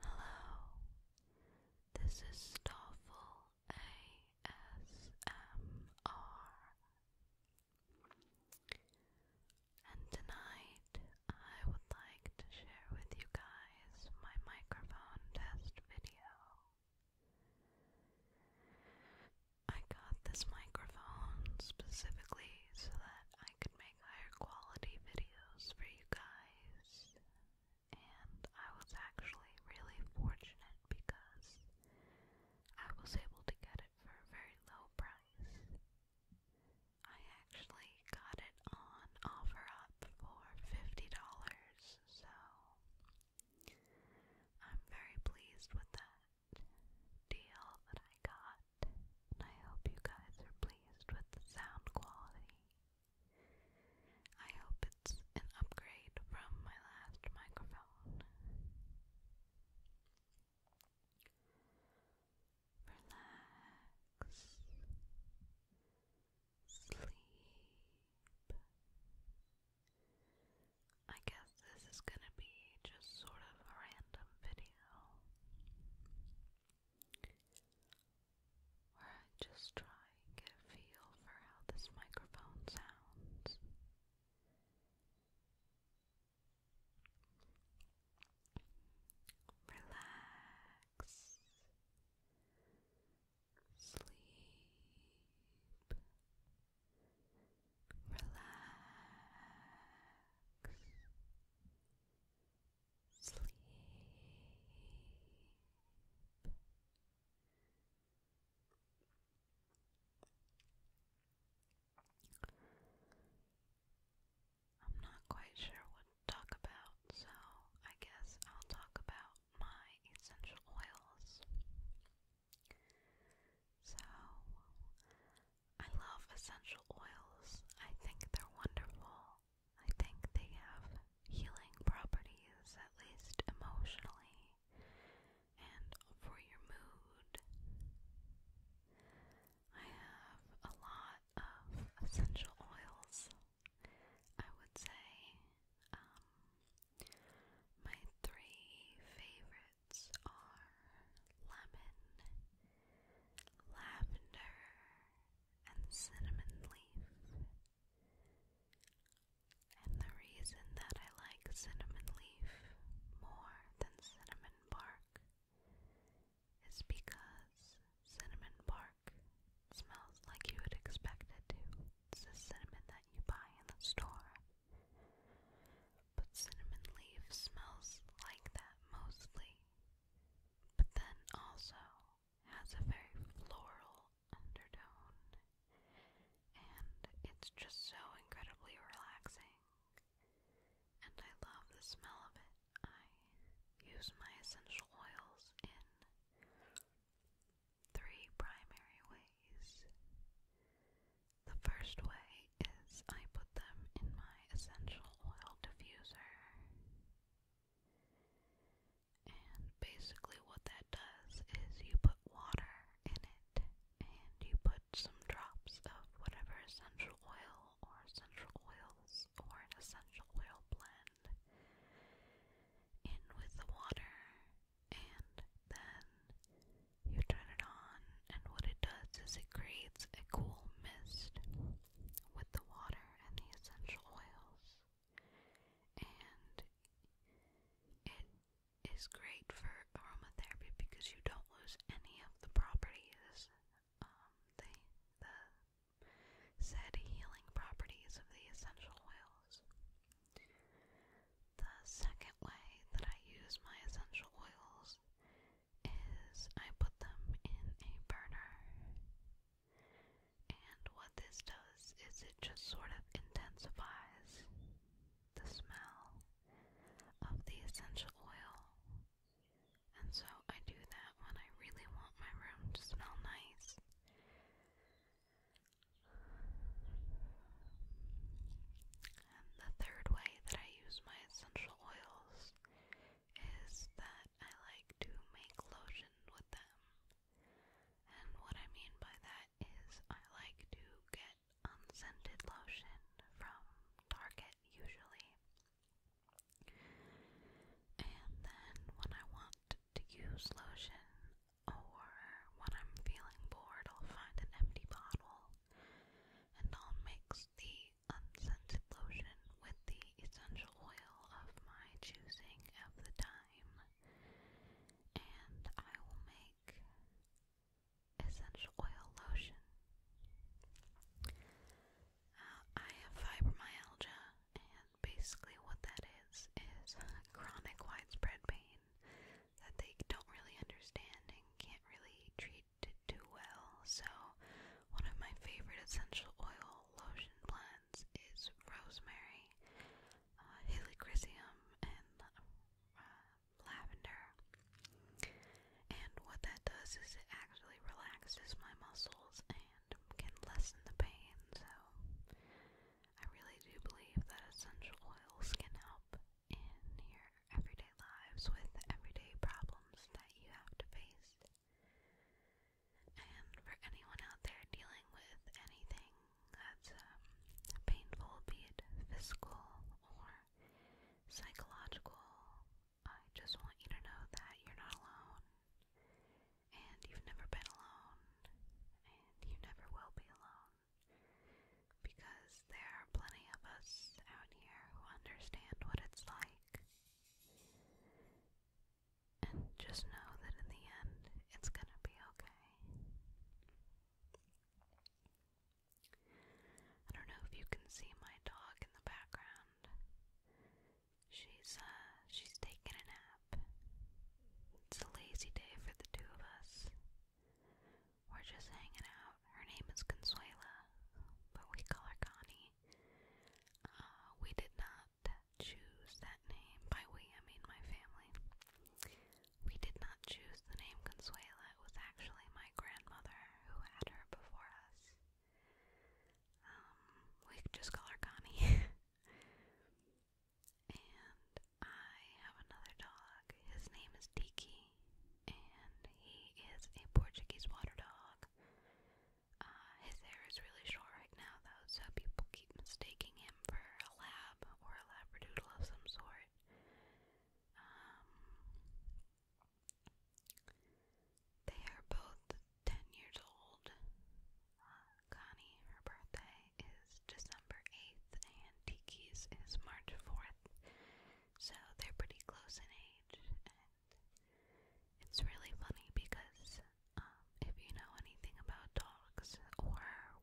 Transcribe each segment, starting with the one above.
Hello, this is Stoffel ASMR, and tonight I would like to share with you guys my microphone test video. I got this microphone specifically so that I could make higher quality videos for you guys. And I was actually really fortunate because I was able to get it for a very low price. I actually got it on OfferUp for $50, so I'm very pleased with that deal that I got. I hope you guys are pleased with the sound quality. I hope it's an upgrade from my last microphone. Relax. Sleep. I guess this is gonna be just sort of a random video where I just try get a feel for how this microphone sounds. Relax. Sleep. Relax. Sleep. I'm not quite sure what to talk about, so I guess I'll talk about my essential oils. So, I love essential oils. I think they're wonderful. I think they have healing properties, at least emotionally, and for your mood. I have a lot of essential oils. I would say um, my three favorite favorites are lemon, lavender, and cinnamon leaf. And the reason that I like cinnamon leaf more than cinnamon bark is because cinnamon bark smells like you would expect it to. It's the cinnamon that you buy in the store. But cinnamon leaf smells like that mostly, but then also has a very floral undertone, and it's just so incredibly relaxing. And I love the smell of it. I use my essential oils in three primary ways. The first way is I put them in my essential oil diffuser. And basically, what that does is you put water in it and you put some drops of whatever essential oil or essential oils or an essential oil blend in with the water, and then you turn it on, and what it does is it creates a cool mist with the water and the essential oils. And it is great for aromatherapy because you don't lose any of the properties, um, the said healing properties of the essential oils. The second way that I use my essential oils is I put them in a burner. And what this does is it just sort of intensifies the smell of the essential oil. And so I do that when I really want my room to smell nice. And the third way that I use my essential oils is that I like to make lotion with them. And what I mean by that is I like to get unscented lotion from Target usually. And then when I want to use lotion or when I'm feeling bored, I'll find an empty bottle and I'll mix the unscented lotion with the essential oil of my choosing at the time, and I will make essential oil lotion. Uh, I have fibromyalgia, and basically what that is is chronic widespread pain that they don't really understand and can't really treat too well. So, one of my favorite essential oil lotion blends is rosemary, uh, and uh, lavender. And what that does is it actually relaxes my muscles and can lessen the pain. So, I really do believe that essential oils can help in your everyday lives with everyday problems that you have to face. And for anyone out there dealing with anything that's um, painful, be it physical or psychological, I just want you to know that you're not alone. And you've never been alone. And you never will be alone because there are plenty of us out here who understand what it's like. And just know that in the end, it's gonna be okay. I don't know if you can see my dog in the background. She's uh, she's taking a nap. It's a lazy day for the two of us. We're just hanging out. Her name is Consuela, but we call her Connie. Uh, we did not choose that name. By we, I mean my family. We did not choose the name Consuela. It was actually my grandmother who had her before us. Um, we just call her Connie. And I have another dog. His name is Tiki, and he is a Portuguese water dog. Uh, his hair is really short right now, though, so people keep mistaking him for a lab or a labradoodle of some sort. Um, they are both 10 years old. Uh, Connie, her birthday is December 8th, and Tiki's is March 4th, so they're pretty close in age. And it's really funny because um, if you know anything about dogs or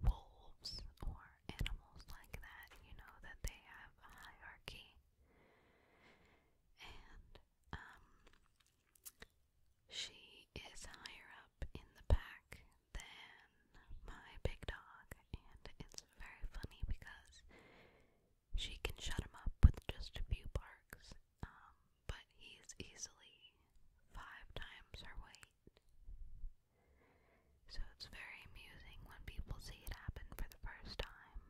wolves or animals like that, you know that they have a hierarchy. And um, she is higher up in the pack than my big dog, and it's very funny because she can shut him up with just a few barks, um, but he's easily five times her weight. So it's very amusing when people see it happen for the first time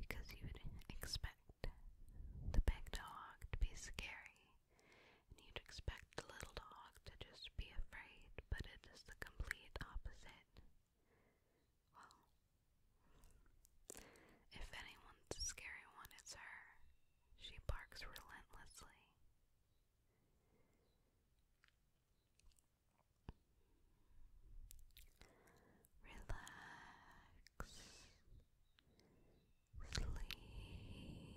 because you would expect the big dog to be scary and you'd expect the little dog to just be afraid, but it is the complete opposite. Well, if anyone's a scary one, it's her. She barks relentlessly. Relax. Sleep. Relax. Sleep.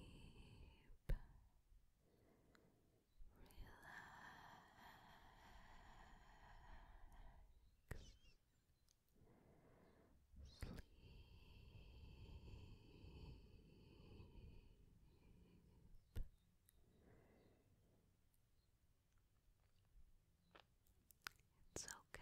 It's okay.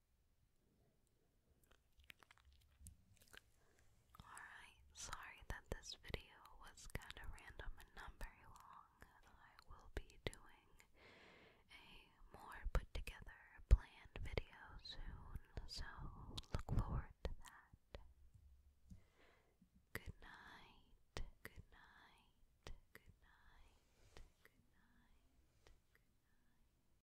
Alright, sorry that this video was kind of random and not very long. I will be doing a more put together planned video soon, so look forward to that. Good night, good night, good night, good night, good night.